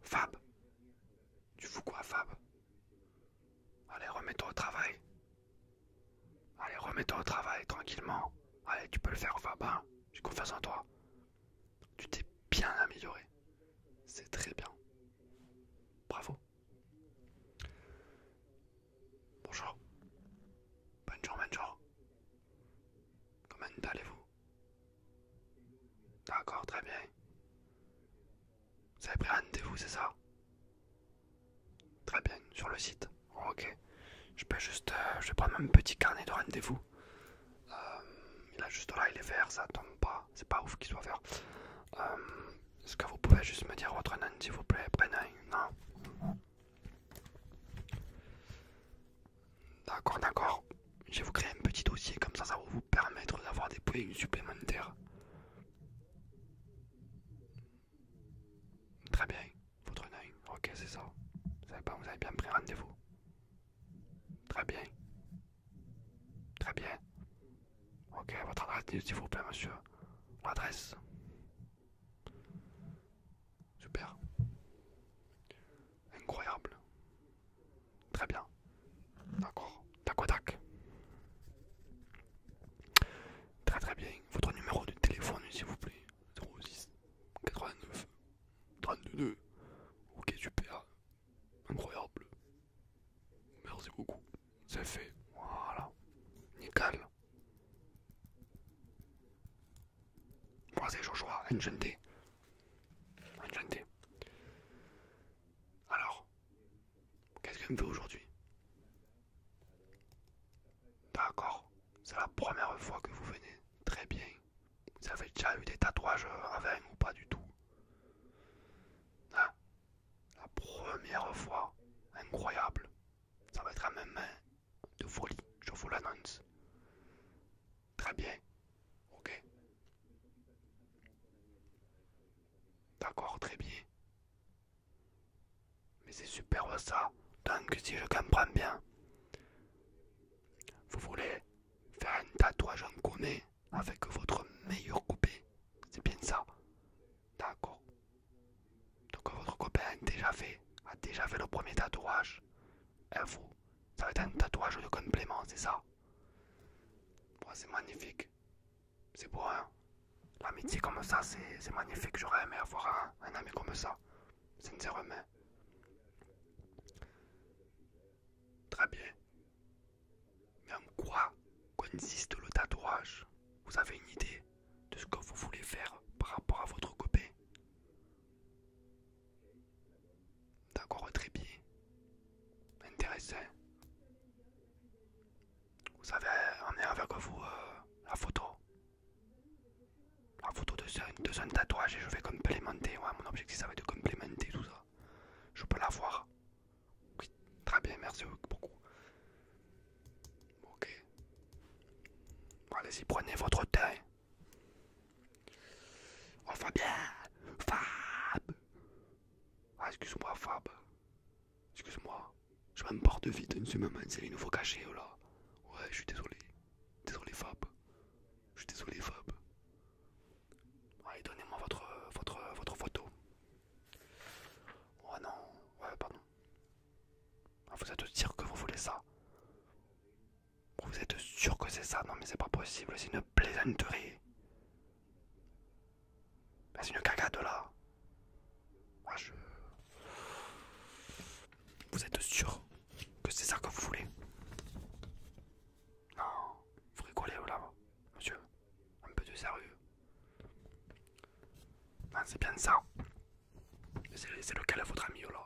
Fab Tu fous quoi, Fab Allez, remets-toi au travail. Allez, remets-toi au travail, tranquillement. Allez, tu peux le faire, Fab, hein. J'ai confiance en toi. Tu t'es bien amélioré. C'est très bien. Bravo. Bonjour. Bonjour, bonjour. Comment allez-vous D'accord, très bien. Vous avez pris rendez-vous, c'est ça Très bien, sur le site. Oh, ok. Je peux juste. Euh, je vais prendre un petit carnet de rendez-vous. Euh, il est juste là, il est vert, ça tombe pas. C'est pas ouf qu'il soit vert. Euh, est-ce que vous pouvez juste me dire votre nom, s'il vous plaît un Non D'accord, d'accord. Je vais vous créer un petit dossier, comme ça, ça va vous permettre d'avoir des points supplémentaires. Très bien, votre nom, Ok, c'est ça. Vous avez, pas, vous avez bien pris rendez-vous. Très bien. Très bien. Ok, votre adresse, s'il vous plaît, monsieur. adresse. Super. Incroyable. Très bien. D'accord. Tac tac. Très très bien. Votre numéro de téléphone, s'il vous plaît. 06 89 32. Ok, super. Incroyable. Merci beaucoup. C'est fait. Voilà. Nickel. Moi, c'est Joshua, un Alors, qu'est-ce que je me aujourd'hui D'accord, c'est la première fois que vous venez. Très bien. Vous avez déjà eu des tatouages avant ou pas du tout hein La première fois. Incroyable. Ça va être ma main de folie, je vous l'annonce. Très bien. Ok. D'accord, très bien. Mais c'est superbe ça. Donc si je comprends bien, vous voulez faire un tatouage en connaît avec votre meilleur coupé. C'est bien ça. D'accord. Donc votre copain a déjà fait, a déjà fait le premier tatouage. vous. ça va être un tatouage de complément, c'est ça C'est magnifique. C'est beau, hein L'amitié comme ça, c'est magnifique. J'aurais aimé avoir un, ami comme ça. Sincèrement. Très bien. Mais en quoi consiste le tatouage Vous avez une idée de ce que vous voulez faire par rapport à votre copain. D'accord, très bien. Intéressant. Vous savez, on est avec vous euh, la photo. La photo de son, tatouage et je vais complémenter. Ouais, mon objectif ça va être de complémenter tout ça. Je peux la voir. très bien, merci beaucoup. Ok. Allez-y, prenez votre temps. Oh Fabien Fab Ah excuse-moi Fab. Excuse-moi. Je m'emporte vite, une suis c'est les nouveaux nouveau caché oh là. Ouais, je suis désolé. Désolé Fab. Je suis désolé Fab. Allez, donnez-moi votre, votre, votre photo. Oh non. Ouais, pardon. Vous êtes sûr que vous voulez ça Vous êtes sûr que c'est ça Non mais c'est pas possible, c'est une plaisanterie. C'est une cagade là. Moi ah, je... Vous êtes sûr que c'est ça que vous voulez Non, vous rigolez là, monsieur. Un peu de sérieux. Non, ah, c'est bien ça. C'est lequel votre ami là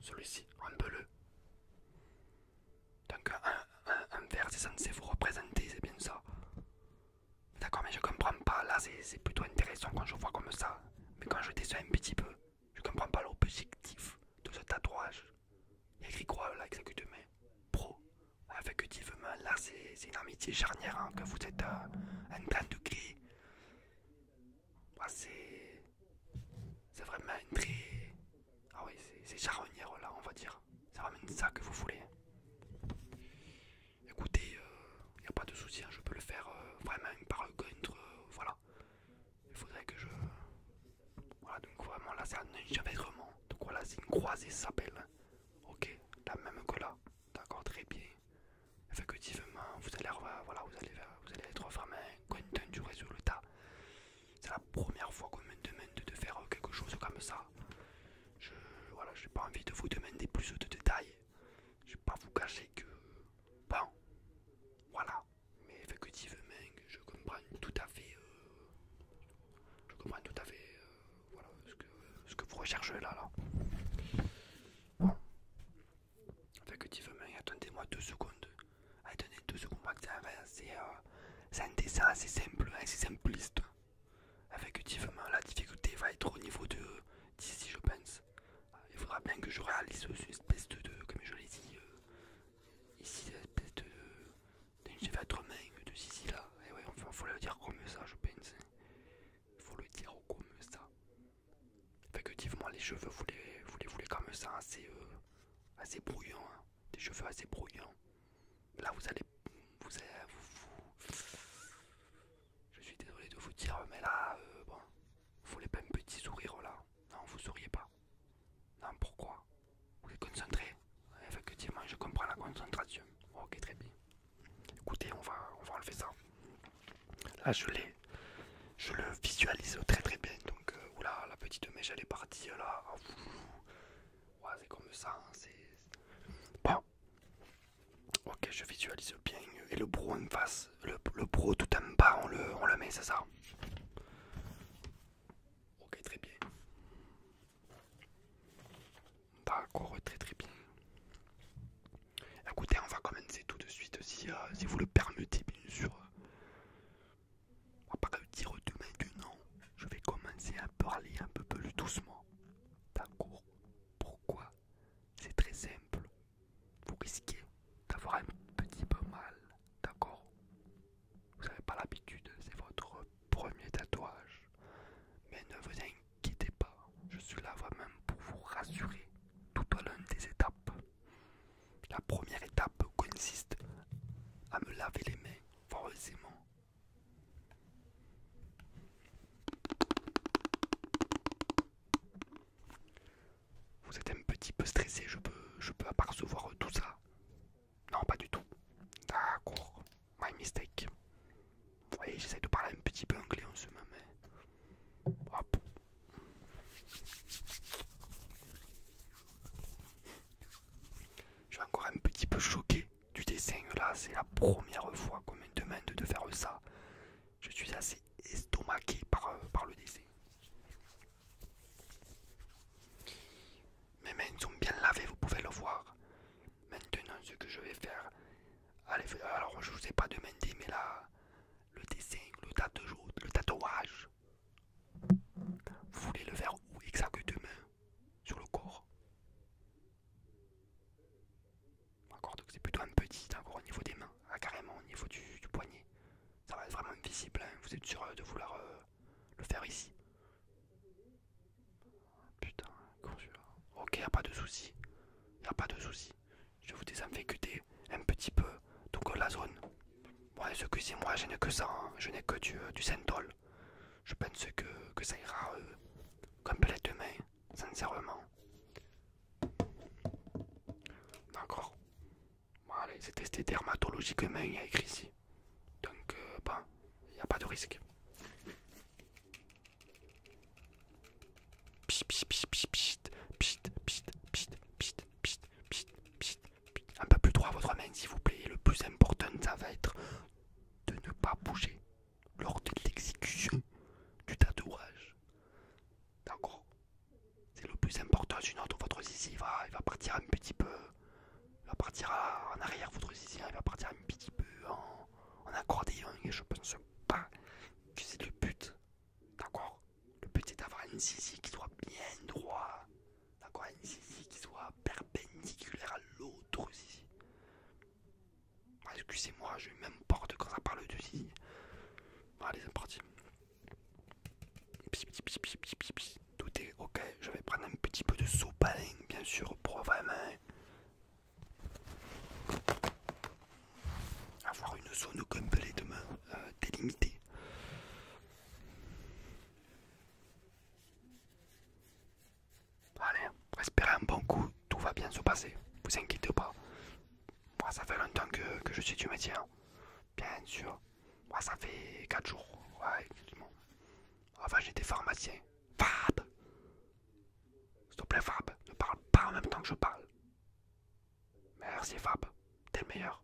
Celui-ci, en bleu. Donc un, un, vert c'est censé vous représenter, c'est bien ça. D'accord, mais je comprends pas. Là c'est plutôt intéressant quand je vois comme ça. Mais quand je descends un petit peu, je comprends pas l'objectif de ce tatouage. Il y a écrit quoi là Pro. Effectivement, là c'est une amitié charnière, hein, que vous êtes euh, à, temps une de clé. c'est vraiment une très... Ah oui, c'est charnière là, on va dire. C'est vraiment ça que vous voulez. Écoutez, il euh, n'y a pas de souci, hein, je peux le faire euh, vraiment par contre, voilà. Il faudrait que je... Voilà, donc vraiment là c'est un vraiment Donc voilà, c'est une croisée s'appelle ok, la même que là, d'accord, très bien. Effectivement, vous allez, voilà, vous allez, vous allez être vraiment content du résultat. C'est la première fois qu'on me demande de faire quelque chose comme ça. Je voilà, pas envie de vous demander plus de détails. Je vais pas vous cacher que bon, voilà. Mais effectivement, je comprends tout à fait euh, je comprends tout à fait euh, ce, que, vous recherchez là. là. Bon. Effectivement, attendez-moi deux secondes. Attendez deux secondes, c'est un dessin assez simple, assez hein, simpliste. Effectivement, la difficulté va être au niveau de d'ici, je pense. Il faudra bien que je réalise une espèce de, comme je l'ai dit, euh, ici, une espèce de j'ai fait main de Sicile là. Et eh ouais, enfin, faut le dire comme ça, je pense. Hein. Faut le dire comme ça. Effectivement, les cheveux, vous les, vous les voulez comme ça, assez, euh, assez brouillants. Hein. Des cheveux assez brouillants. Là, vous allez. Vous, Je suis désolé de vous dire, mais là, euh, bon. Vous voulez pas un petit sourire là. Non, vous souriez pas. Non, pourquoi Vous êtes concentré eh, Effectivement, je comprends la concentration. Ok, très bien. Écoutez, on va, on va enlever ça. Là, je l'ai. Je le visualise très très bien. Donc, euh, oula, la petite mèche, elle est partie là. Ah, c'est comme ça. Hein, bon. Ok, je visualise bien. Et le bro en face, le, bro tout en bas, on le, on le met, c'est ça Ok, très bien. D'accord, très très bien. Écoutez, on va commencer tout de suite si, euh, vous le permettez, bien sûr. pas dire demain que non, je vais commencer à parler un peu plus doucement. D'accord Pourquoi C'est très simple. Vous risquez d'avoir un petit peu mal d'accord Vous n'avez pas l'habitude, c'est votre premier tatouage. Mais ne vous inquiétez pas, je suis là vraiment pour vous rassurer tout au long des étapes. La première étape consiste à me laver les mains forcément. Vous êtes un petit peu stressé, je peux, je peux apercevoir tout ça. Non, pas du tout. D'accord, my mistake. Vous voyez, j'essaie de parler un petit peu anglais en ce moment. Hop. Je suis encore un petit peu choqué du dessin là, c'est la première fois qu'on me demande de faire ça. Je suis assez estomaqué par, euh, par le dessin. Mes mains sont bien lavées, vous pouvez le voir. Maintenant, ce que je vais faire. alors, je ne vous ai pas demandé, mais là, le dessin, le, le tatouage. Vous voulez le faire où exactement Sur le corps. D'accord, donc c'est plutôt un petit, hein, encore au niveau des mains, hein, carrément au niveau du, poignet. Ça va être vraiment visible, hein, vous êtes sûr de vouloir euh, le faire ici. Putain, Ok, pas de souci. Y a pas de souci. Je vous désinfecte un petit peu donc la zone. Bon, ce que moi, je n'ai que ça. Hein. Je n'ai que du, euh, du Je pense que, que ça ira euh, demain complètement, sincèrement. D'accord. Voilà, c'est testé dermatologiquement, il y a écrit ici. Donc, il n'y a pas de risque. Un peu plus droit à votre main, s'il vous plaît. le plus important, ça va être de ne pas bouger lors de l'exécution du tatouage. D'accord c'est le plus important, d'une autre, votre zizi va, il va partir un petit peu. Il va partir en arrière, votre zizi, hein, il va partir un petit peu en, en accordéon et je pense pas que c'est le but. D'accord Le but c'est d'avoir une zizi qui soit bien droit. D'accord Une zizi qui soit perpendiculaire à l'autre zizi. Ah, excusez-moi, je m'importe quand ça parle de zizi. Allez, c'est parti. Tout est ok, je vais prendre un petit peu de sopalin, bien sûr, pour avoir une zone complètement euh, délimitée. Allez, respirez un bon coup, tout va bien se passer, vous inquiétez pas. ça fait longtemps que, je suis du métier. Hein. Bien sûr. Moi, ça fait 4 jours. Ouais, Enfin, j'étais pharmacien. Fab S'il te plaît, Fab, ne parle pas en même temps que je parle. Merci, Fab. T'es le meilleur.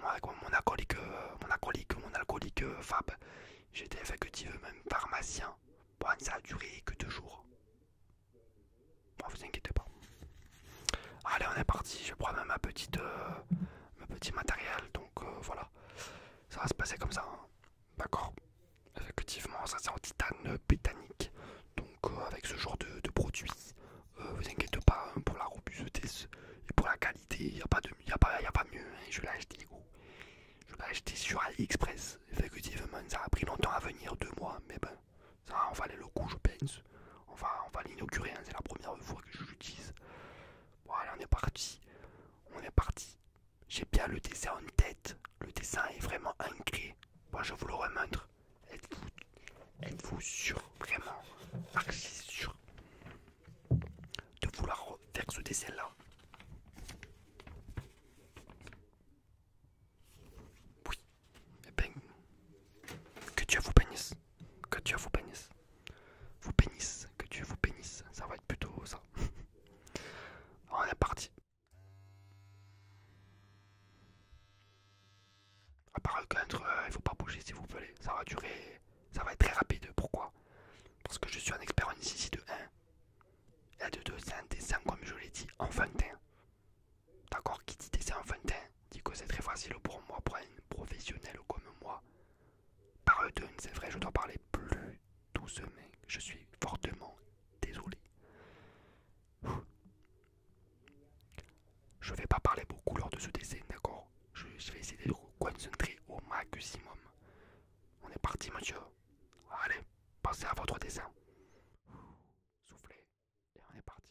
moi avec mon alcoolique, euh, mon alcoolique, mon euh, alcoolique Fab, j'étais effectivement même pharmacien. Bon, ça a duré que deux jours. Bah, vous inquiétez pas. Allez, on est parti. Je prends ma petite, euh, petit matériel. Donc euh, voilà, ça va se passer comme ça. Hein. D'accord. Effectivement, ça c'est en titane pétanique Donc euh, avec ce genre de, produits vous inquiétez pas hein, pour la robustesse et pour la qualité. Il n'y a, a, a pas mieux. Hein. Je l'ai acheté. Je l'ai acheté sur AliExpress. Effectivement, ça a pris longtemps à venir, deux mois. Mais ben ça en aller le coup je pense. On va, on l'inaugurer, hein, c'est la première fois que je l'utilise. Voilà, on est parti. On est parti. J'ai bien le dessin en tête. Le dessin est vraiment ancré. Moi je vous le remontre. Êtes-vous sûr, vraiment, archi de vouloir faire ce dessin là oui. et eh ben, que Dieu vous bénisse. Que Dieu vous bénisse. Vous bénisse. Que Dieu vous bénisse. Ça va être plutôt ça. On est parti. À part le contre, il euh, il faut pas bouger si vous voulez, Ça va durer. Ça va être très rapide. Pourquoi Parce que je suis un expert en ici de 1. Et de 2, c'est dessin comme je l'ai dit, en 21. D'accord, qui dit de temps, dit que c'est très facile pour moi, pour un professionnel comme moi. Par Pardon, c'est vrai, je dois parler plus doucement. Je suis fortement désolé. Je vais pas parler beaucoup lors de ce dessin, d'accord je, vais essayer de me concentrer au maximum. On est parti, monsieur. Allez, passez à votre dessin soufflez, et on est parti.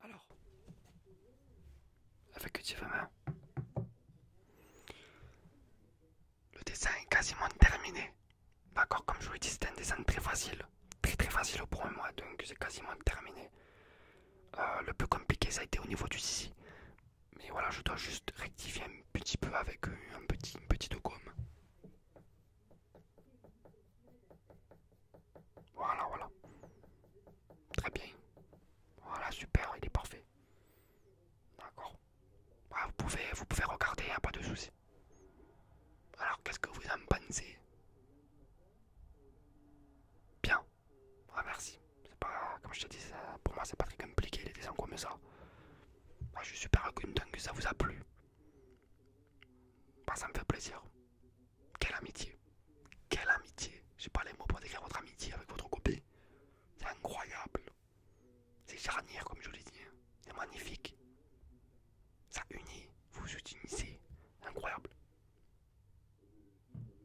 Alors, avec effectivement, le dessin est quasiment terminé. D'accord, comme je vous l'ai dit, c'est un dessin très facile, très très facile pour mois, donc c'est quasiment terminé. Euh, le plus compliqué, ça a été au niveau du scie, Mais voilà, je dois juste rectifier un petit peu avec euh, un petit, une petite gomme. Voilà, voilà. Très bien. Voilà, super, il est parfait. D'accord. Ah, vous, pouvez, vous pouvez regarder, a hein, pas de souci. Alors, qu'est-ce que vous en pensez Bien. Ah, merci. C'est pas, comme je te dis, pour moi, c'est pas très compliqué les dessins comme ça. Moi je suis super content que ça vous a plu. ça me fait plaisir. Quelle amitié. Quelle amitié. J'ai pas les mots pour décrire votre amitié avec votre copine. C'est incroyable. C'est charnière comme je l'ai dit. Hein. C'est magnifique. Ça unit. Vous vous unissez. Incroyable.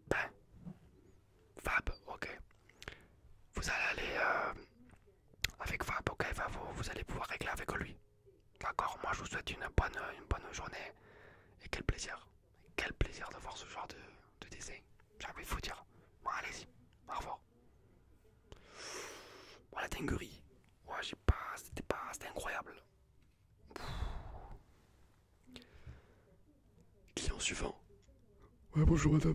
Ben. Fab, ok. Vous allez aller... Euh, avec Faboka et vous allez pouvoir régler avec lui. D'accord Moi, je vous souhaite une bonne, une bonne journée. Et quel plaisir. Quel plaisir de voir ce genre de, dessin. J'ai envie de vous dire. Bon, allez-y. Au revoir. Voilà oh, la dinguerie. Ouais, j'ai pas. C'était pas. C'était incroyable. Client suivant. Ouais, bonjour